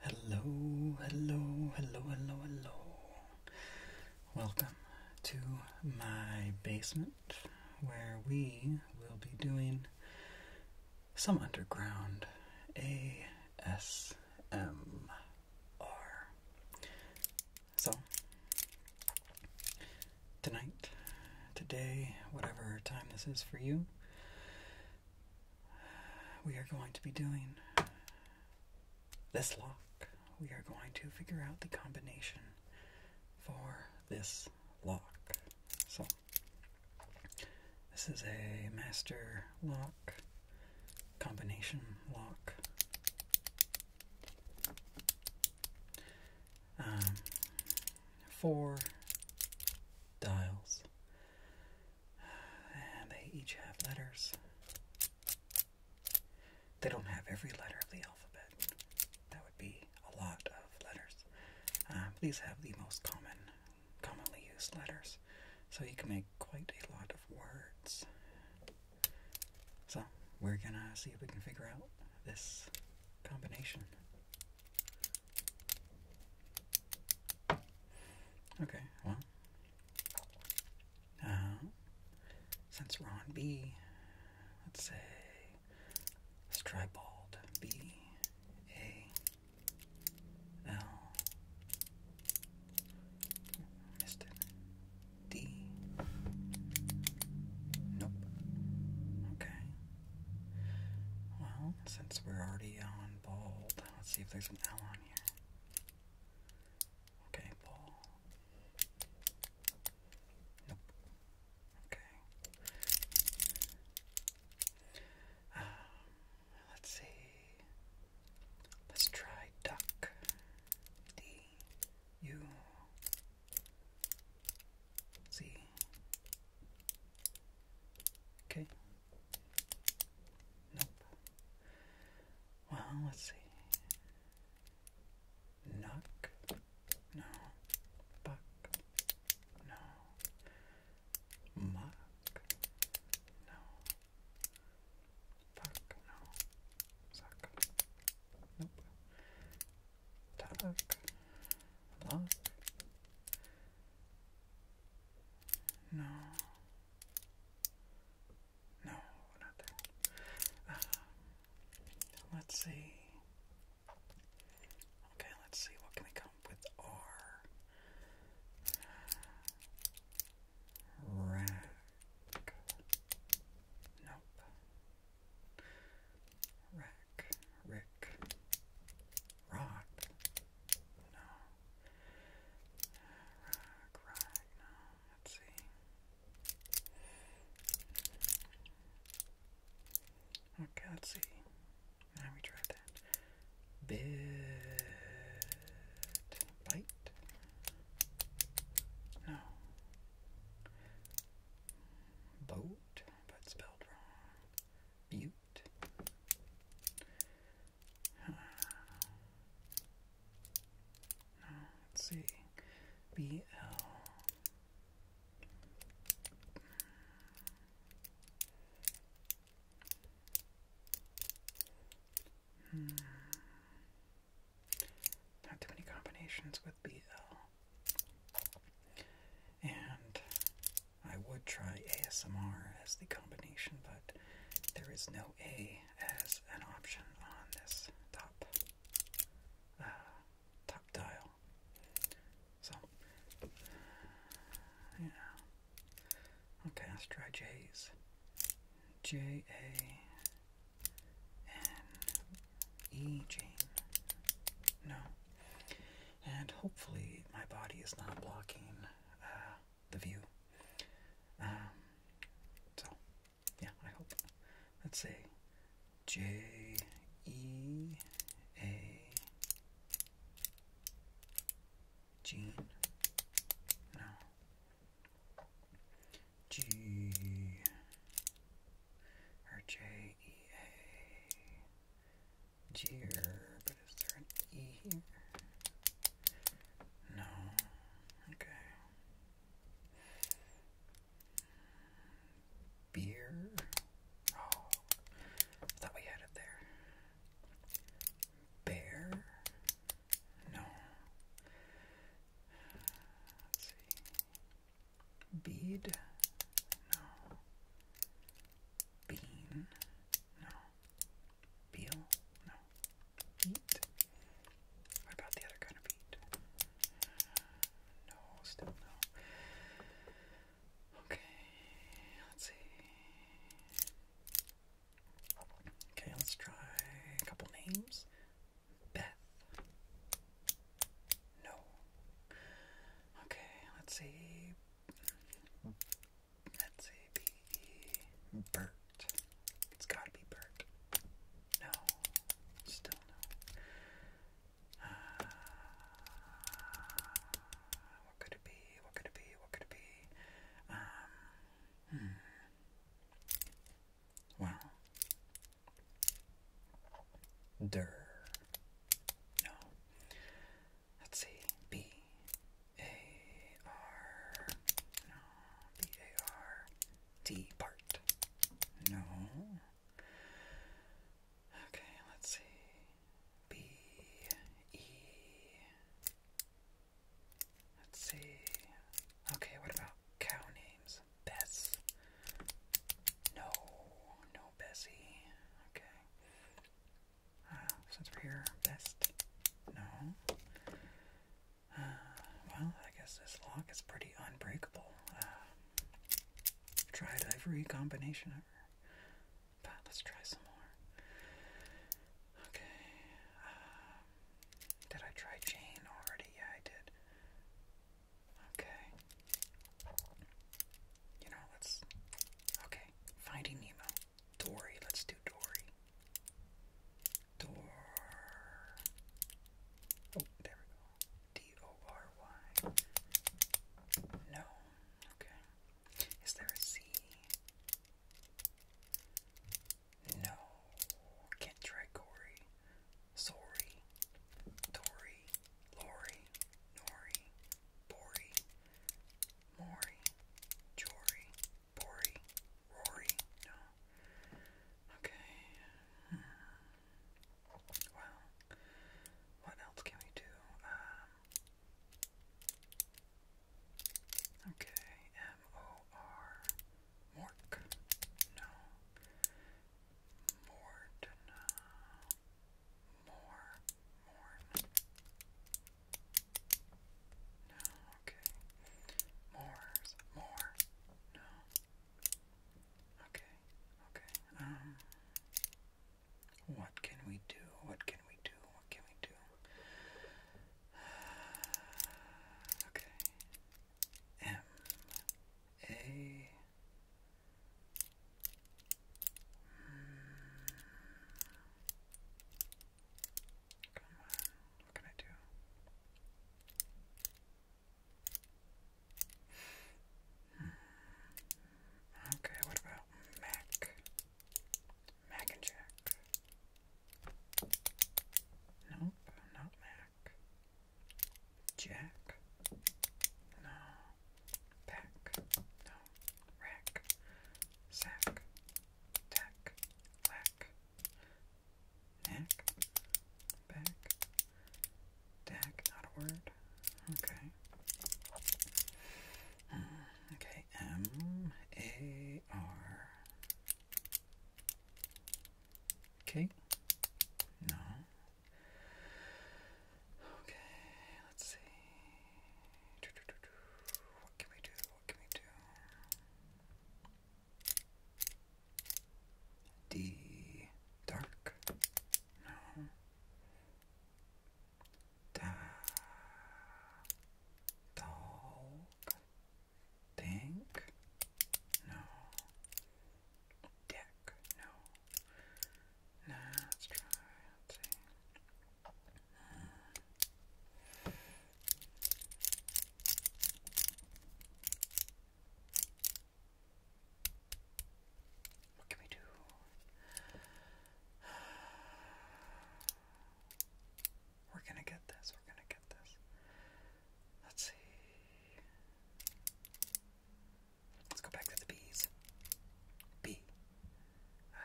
Hello, hello, hello, hello, hello. Welcome to my basement where we will be doing some underground ASMR. So, tonight, today, whatever time this is for you, we are going to be doing this lock. We are going to figure out the combination for this lock. So, this is a master lock, combination lock. Um, four dials. And they each have letters. They don't have every letter of the alphabet. That would be a lot of letters. Uh, these have the most common, commonly used letters. So you can make quite a lot of words. So we're gonna see if we can figure out this combination. Okay, well, uh, since we're on B, let's say, let's try bald. B, A, L, missed it. D, nope. Okay. Well, since we're already on bald, let's see if there's an L ally. Okay, ball. Nope. Okay. Um, let's see. Let's try duck. D U Z. Okay. Nope. Well, let's see. Knock. No. Buck. No. Muck. No. Fuck. No. Suck. Nope. Tuck. Lock. No. No, not that. Um, let's see. Okay, let's see. What can we come up with? R. Uh, rack. Nope. Rack. Rick. Rock. No. Rock, rock, no. Let's see. Okay, let's see. Now we try that. Bit. Bite? No. Boat, but spelled wrong. Butte let's see. BL. Hmm. Not too many combinations with BL. And I would try ASMR as the combination, but there is no A as an option on this top uh, top dial. So, yeah. Okay, let's try J's. J A N E No. And hopefully my body is not blocking uh, the view. Um, so, yeah, I hope. Let's say J E A Gene. No. G or J E A Gerb is there an E here? No. Okay. Beer. Oh, I thought we had it there. Bear. No. Let's see. Bead. No. Bean. No. Peel? No. Beet? What about the other kind of beet? No, still no. Okay, let's see. Okay, let's try a couple names. Beth. No. Okay, let's see. That's A B E. Bert. It's gotta be Bert. No. Still no. Uh, what could it be? What could it be? What could it be? Um, hmm. Well. Dur. No. Let's see. B. A R no B A R T part no okay let's see B E let's see okay what about cow names Bess no no Bessie okay since we're here, best? No. Uh, well, I guess this lock is pretty unbreakable. I've uh, tried every combination ever, but let's try some more. Okay. Um, did I try chain already? Yeah, I did. Okay. You know, let's. Okay, Finding Nemo. Dory. Let's do Dory. Dor. Oh, there we go. D O R Y. No. Okay. Is there a Z? No. Can't try Corey. Sorry. Dory. Lori. Nori. Bori. Maury. Jory. Bori? Rory? No. Okay. Well, what else can we do? Um, okay, M O R. Mork? No. Mord? No. More? Morn? No, okay. More, more. No. Okay, okay. Um what can we do? What can we do? What can we do? okay. M A hmm. Come on. What can I do? Hmm. Okay, what about Mac? Mac and Jack. Nope, not Mac. Jack? No. Pack? No. Rack. Sack. Tack. Lack. Neck, back, deck, not a word. Okay. Uh, okay, M A R. Okay. No. Okay, let's see. What can we do? What can we do? The dark. No. Da dog. No. Deck. No. let's try. What can we do? We're gonna get this, we're gonna get this. Let's see. Let's go back to the bees. B. Uh,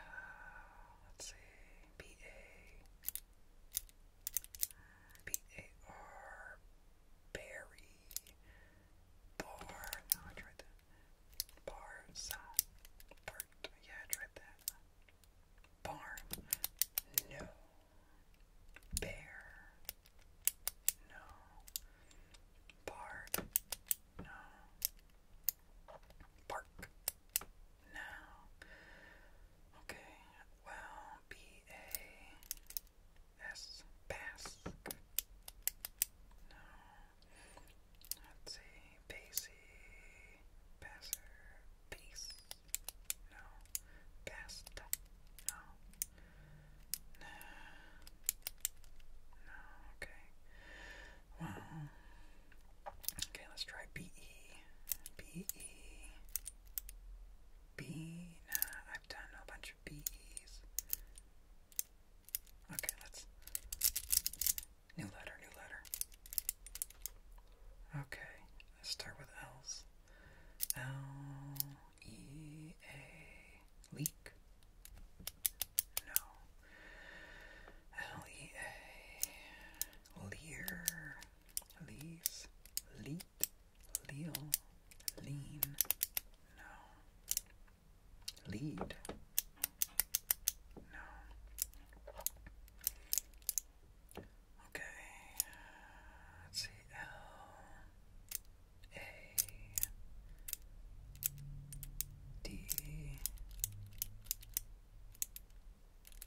let's see. B A. B-A-R, Barry, Bar, no, I tried that, Bars, Bart, yeah, I tried that, Barn, no, Bear, no, Bard, no, Bark, now. Okay, well, B A S Basque. No. Let's see, Basie, Basser, Base. No, Basta. No. Nah. No, okay. Well, okay, let's try B E. B E Bee. have done a bunch of bees. Okay, let's. New letter, new letter. Okay, let's start with L's. L E A. Leak? No. L E A. Lear. Lease, lead, leal, lean, no. Lead, no. Okay, let's see. L, A, D,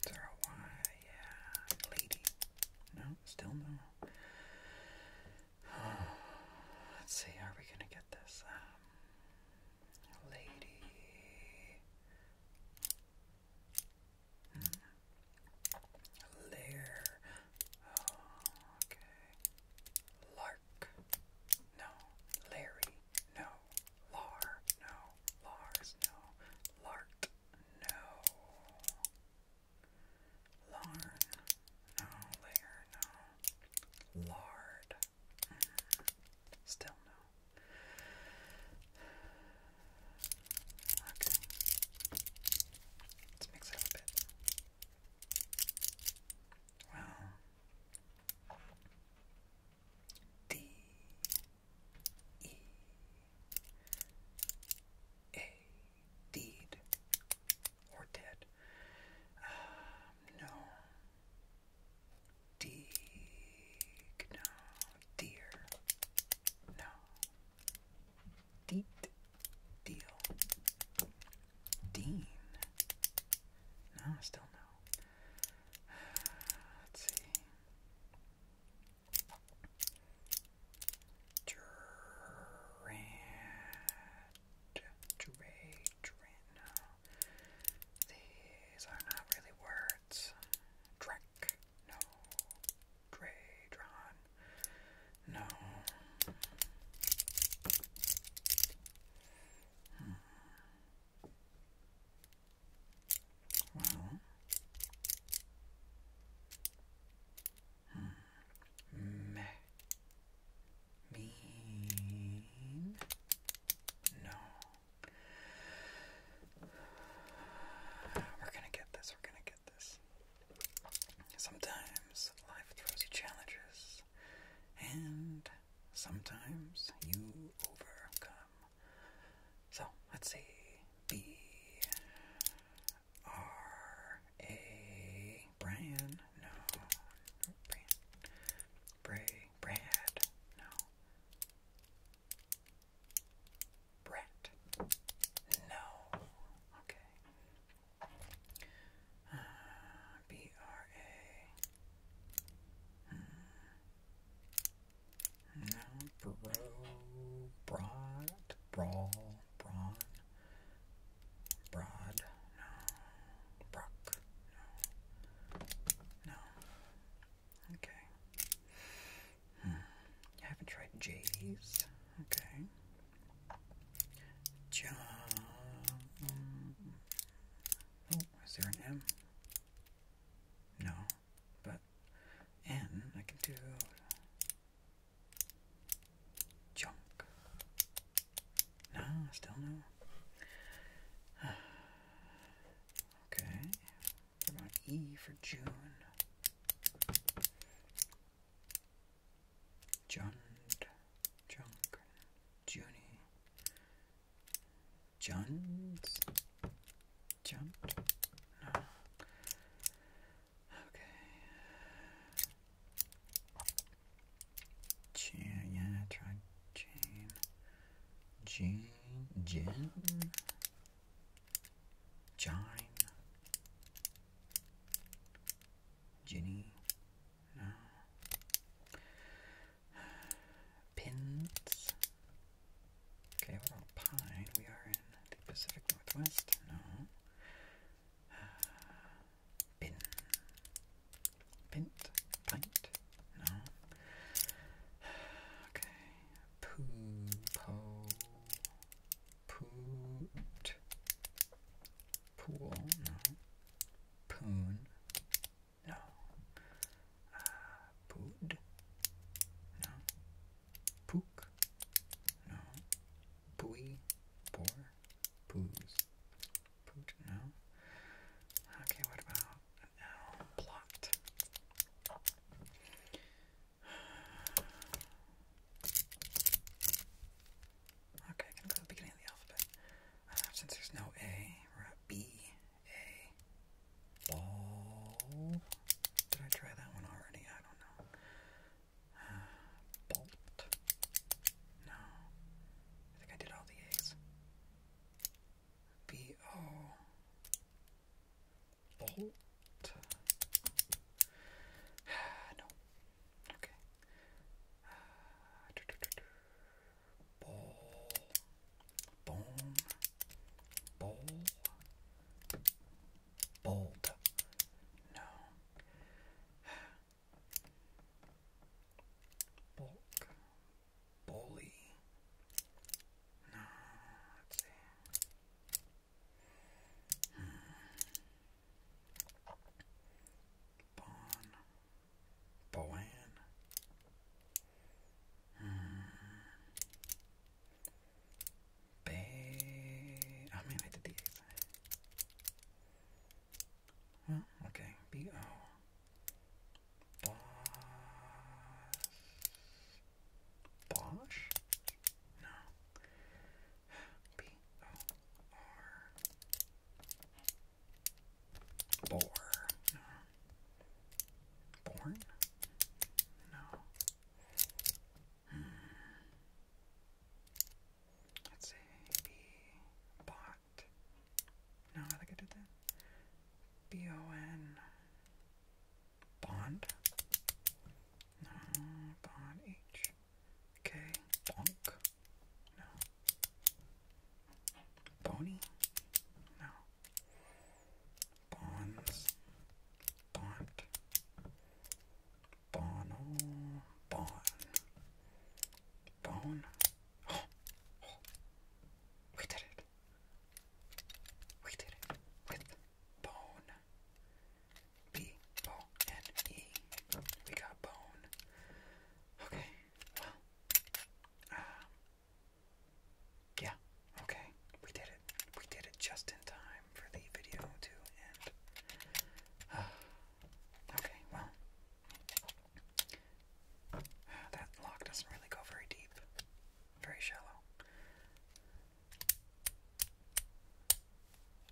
Zero Y, yeah. Lady. No, still no. let's see, are we gonna get this? Um, lady. Hmm. Lair. Oh, okay. Lark. No. Larry. No. Lar. No. Lars. No. Lart no. Larn, no. Layer, no. Lard, mm. still no. Okay. Let's mix it up bit. Well, D. E a deed or dead. Um, no. Deeg, no. Deer, no. Deet, deal. Dean, no, still no. Let's see. Durant, Durant, Durant, no. These are not really words. Drek, no. Dradron, no. Hmm. Well, hmm. mean no. We're gonna get this. We're gonna get this. Sometimes life throws you challenges, and sometimes you overcome so let's see. B R A Brian. No. Bray. Brad. No. Brett. No. Okay. Uh, B R A. Hmm. No, Bro, broad, brawl, brawn, broad, no, brock, no, Okay. Hmm. I haven't tried J's. Okay. John. Oh, is there an M? No, but and I can do junk. No, still no. Okay. What about E for June? Jund, junk, Junie, Juns, Jump. No. Okay. Jane, yeah, I tried Jane. Jane, Jen, Ginny, no. Pins, Okay, we're on Pine. We are in the Pacific Northwest. No. Uh, bin. Pint. Pint. No. Okay. Poo. Po. Poot. Pool. No. Poon. No. Uh, Pood. No. Pook. No. Pooey. Poor. Poos. Poot. No. Okay, what about now? Plot. Okay, I can go to the beginning of the alphabet. Uh, since there's no A, we're at B, A. Ball. Did I try that one already? bolt. No. I think I did all the A's. B O. Bolt. no. Okay. do, do, do, do. Bowl. Boom. Bowl bold. No. Bulk. Bully. No, let's see. Hmm. Bon. Hmm. Bad. mean, I did the Well, okay. B O. Boss. Bosch? No. B O R. Born? No. Let's say B bot. No, I think I did that. B O N bond. No, bond H. K bonk. No. Bony. No. Bonds, Bont, Bono, Bon, Bone. Oh, oh. We did it. We did it with bone. B O N E. We got bone. Okay. Well. Uh, yeah. Okay. We did it. We did it just in time time for the video to end. Uh, okay, well, that lock doesn't really go very deep, very shallow.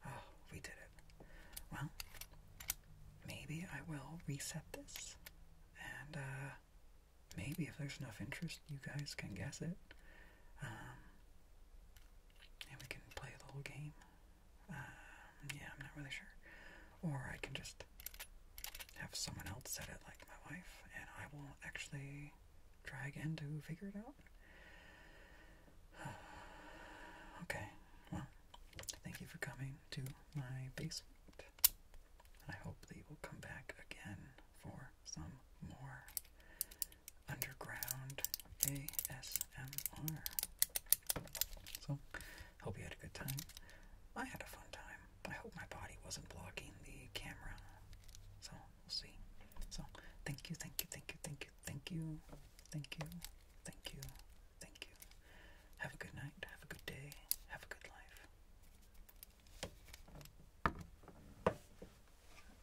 Oh, we did it. Well, maybe I will reset this, and uh, maybe if there's enough interest, you guys can guess it. Um, and we can play the whole game. Um, yeah, I'm not really sure. Or I can just have someone else set it, like my wife, and I will actually try again to figure it out. okay, well, thank you for coming to my basement. I hope that you will come back again for some more underground ASMR. So, hope you had a good time. I had a fun time. I hope my body wasn't blocking the camera. So, we'll see. So, thank you, thank you, thank you, thank you, thank you, thank you, thank you, thank you. Have a good night, have a good day, have a good life.